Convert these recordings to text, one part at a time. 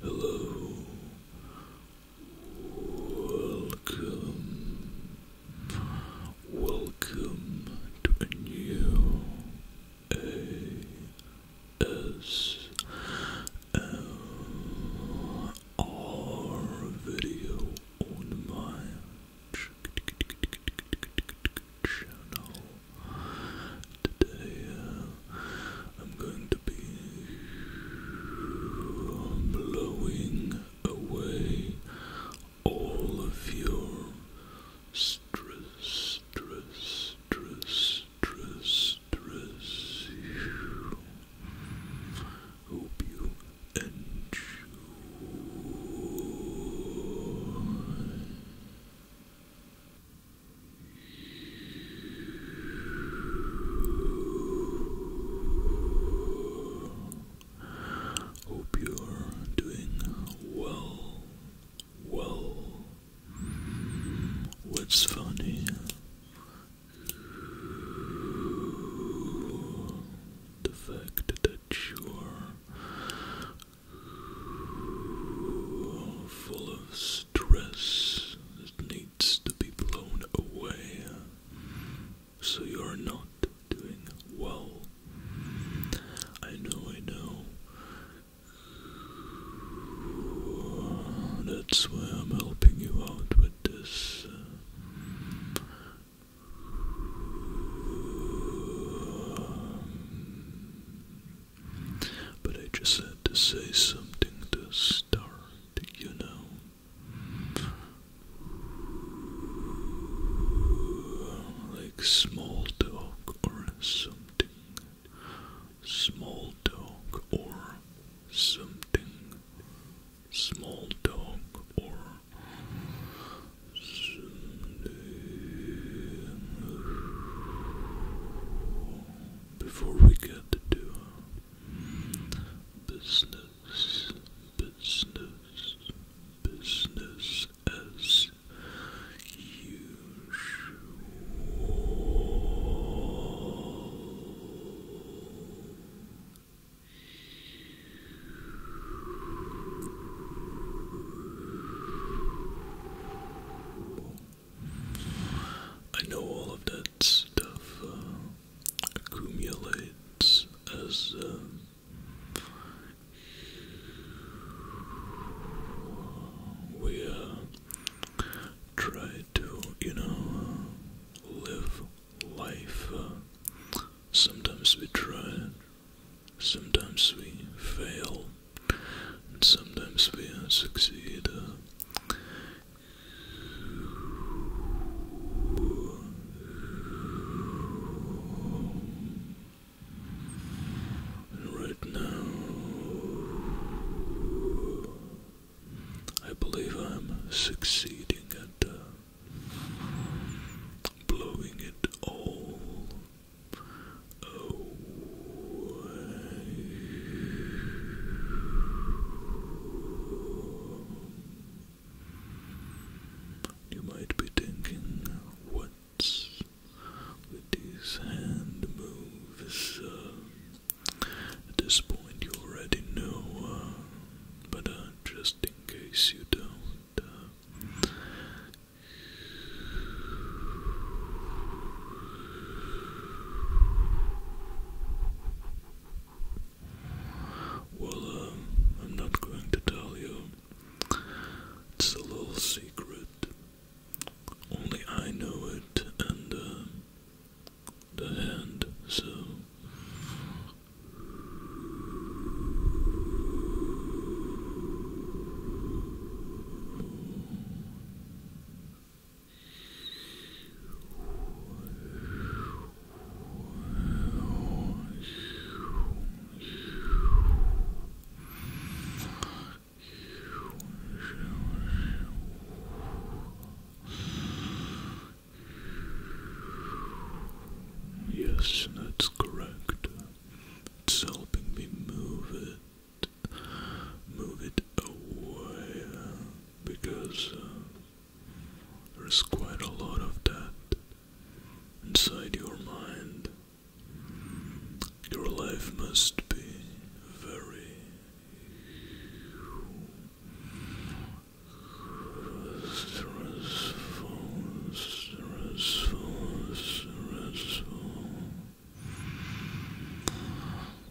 Hello, welcome, Welcome to a new ASMR video on my channel. Today uh, I'm going to be blowing away all of your stress, stress, stress, stress, stress. Hope you enjoy. Hope you're doing well. Well, mm, what's funny? The fact that you're full of stress needs to be blown away so you're not doing well. I know, I know. That's why I'm helping you out with this. Um, but I just had to say something to start, you know like small talk or something. Small talk or something. Small talk or something. Before we get to business business, business as usual. I know all of that stuff uh, accumulates as um, we uh, try to, you know, live life. Uh, sometimes we try, sometimes we fail, and sometimes we uh, succeed right now, I believe I'm succeeding at uh, blowing it all away. You might be thinking, what's with these hand moves? Uh, at this point, you already know, uh, but uh, just in case you don't. Well, um, I'm not going to tell you. It's a little secret. Only I know it, and uh, the hand, so. Yes, that's correct. It's helping me move it, move it away, because uh, there's quite a lot of that inside your mind. Your life must be very stressful, stressful, stressful.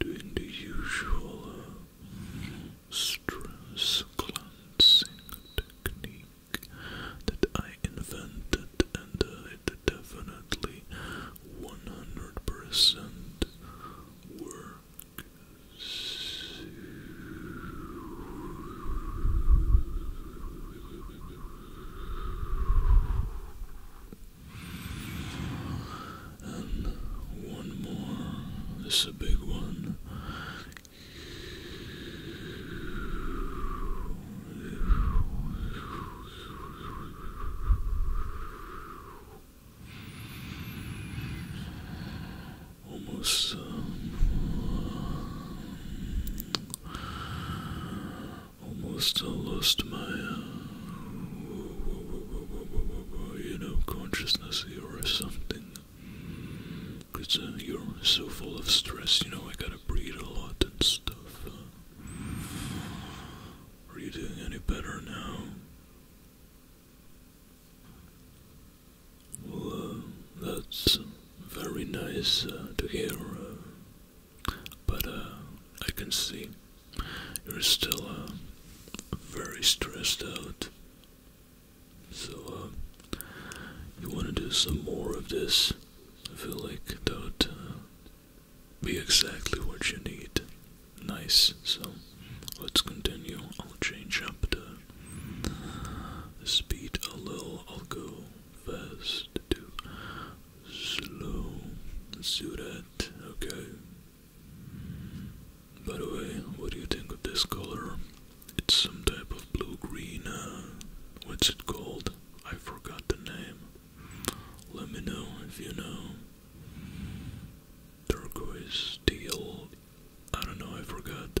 doing the usual uh, stress cleansing technique that I invented, and uh, it definitely 100% works. And one more. This is a big one. Almost um, uh, almost uh, lost my uh, you know, consciousness or something. Because uh, you're so full of stress, you know, I gotta breathe a lot and stuff. Uh, are you doing any better now? Uh, that's very nice to hear, but I can see you're still uh, very stressed out. So, uh, you want to do some more of this. I feel like that would uh, be exactly what you need. Nice. So, let's continue. I'll change up the, the speed a little. I'll go fast to slow. Let's do that. Okay. By the way, what do you think of this color? It's some type of blue-green, uh, what's it called? I forgot the name. Let me know if you know. Turquoise, teal, I don't know, I forgot.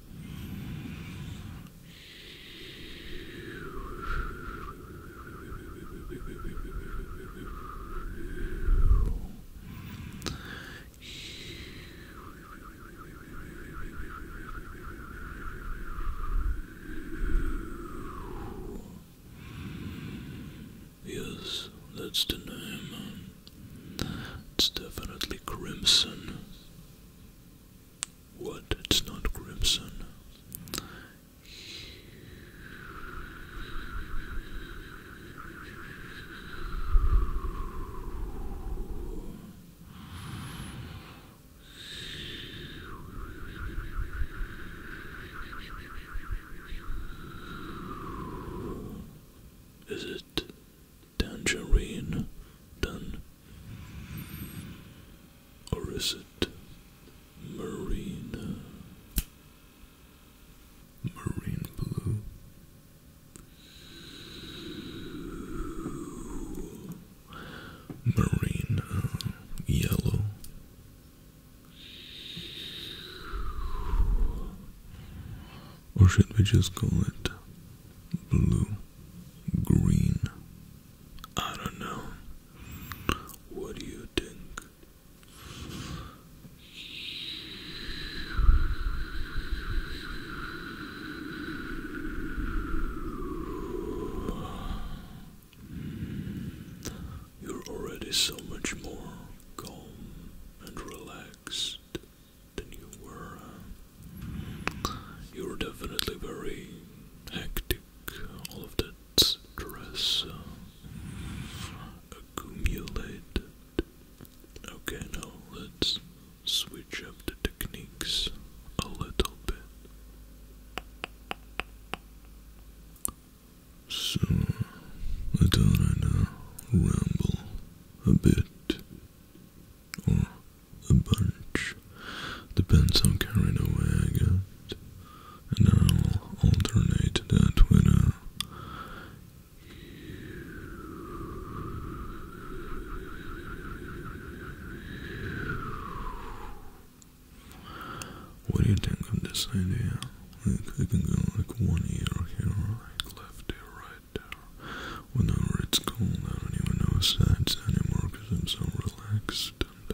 Yes, that's the name. It's definitely crimson. What? It's not crimson. Is it tangerine done? Or is it marine? Marine blue. Marine uh, yellow. Or should we just call it blue green? I don't know. What do you think? You're already so much more calm and relaxed and you were you were definitely very hectic. All of that stress uh, accumulated. Okay, now let's switch up the techniques a little bit. So, I thought I'd uh, ramble a bit, or a bunch. Depends how carried away I get. And I'll alternate that with a what do you think of this idea? Like I can go like one ear here, like left ear, right there. Whenever it's cold, I don't even know sides anymore because I'm so relaxed. Uh,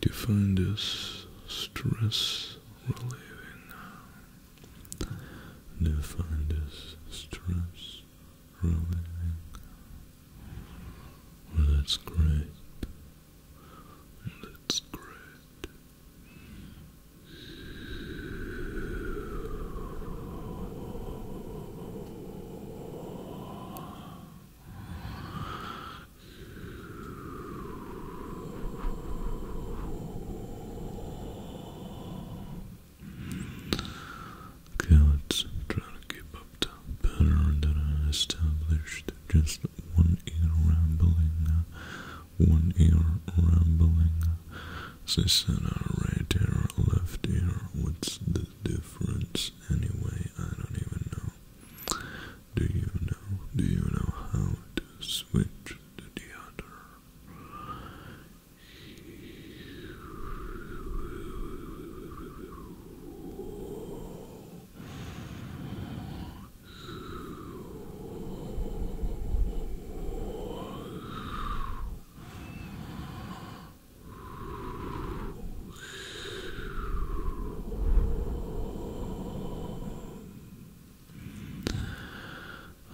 to find us stress relieving. To find us stress relieving. that's great. That's great. Okay, let's try to keep up the pattern that I established. Just one ear rambling, uh, one ear rambling. As I a right ear, a left ear. What's the difference anyway? I don't even know. Do you know? Do you know how to switch to the other?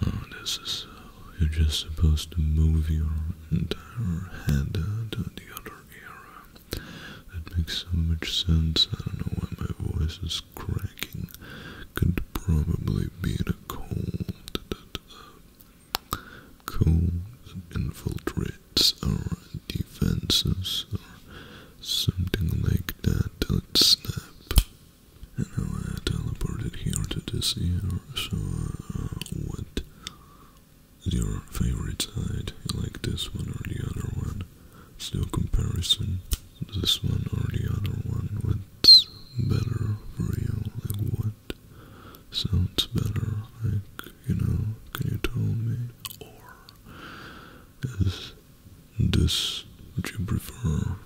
Oh, this is. Uh, you're just supposed to move your entire head uh, to the other ear. That makes so much sense. I don't know why my voice is cracking. Could probably be a cold that Cool, infiltrates our defenses or something like that. Dot snap. And now I teleported here to this ear. So, uh, what is your favorite side? You like this one or the other one? Let's comparison. This one or the other one? What's better for you? Like what? sounds better, like, you know, can you tell me? Or is this what you prefer?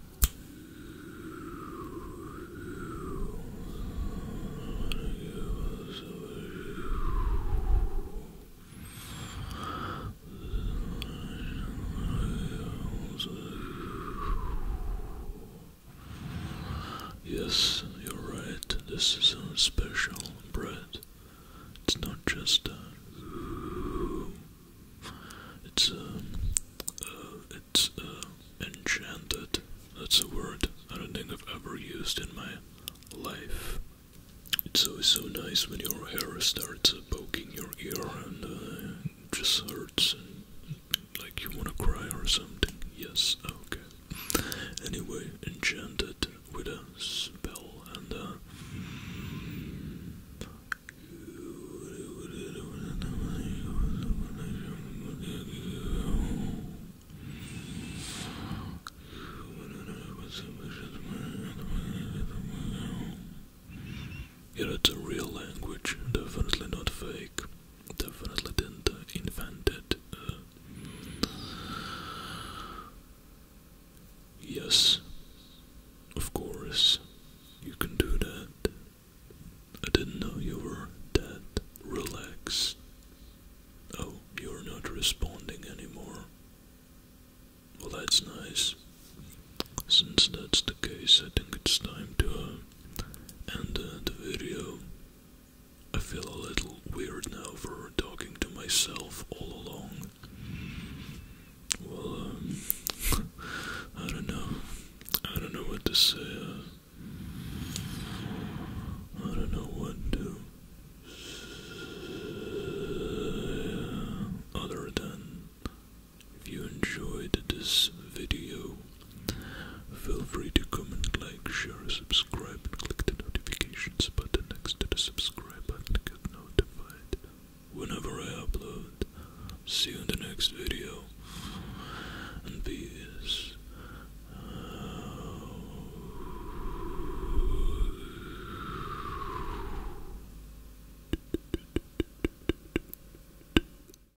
Yes, you're right. This is a special bread. It's not just a. It's a. Uh, it's a uh, enchanted. That's a word I don't think I've ever used in my life. It's always so nice when your hair starts poking your ear and uh, just hurts like you wanna cry or something? Yes, okay. Anyway, enchanted with a spell and it's uh, a real language, definitely not fake definitely didn't uh, uh, yes, of course, you can do that. I didn't know you were that relaxed. Oh, you're not responding anymore. Well, that's nice. Since that's the case, I think it's time to uh, end the video. I feel a little weird now for talking to myself all along. Well, um, I don't know. I don't know what to say. Uh, I don't know what to uh, Other than, if you enjoyed this video, Feel free to comment, like, share, subscribe, and click the notifications button next to the subscribe button to get notified whenever I upload. See you in the next video. And peace.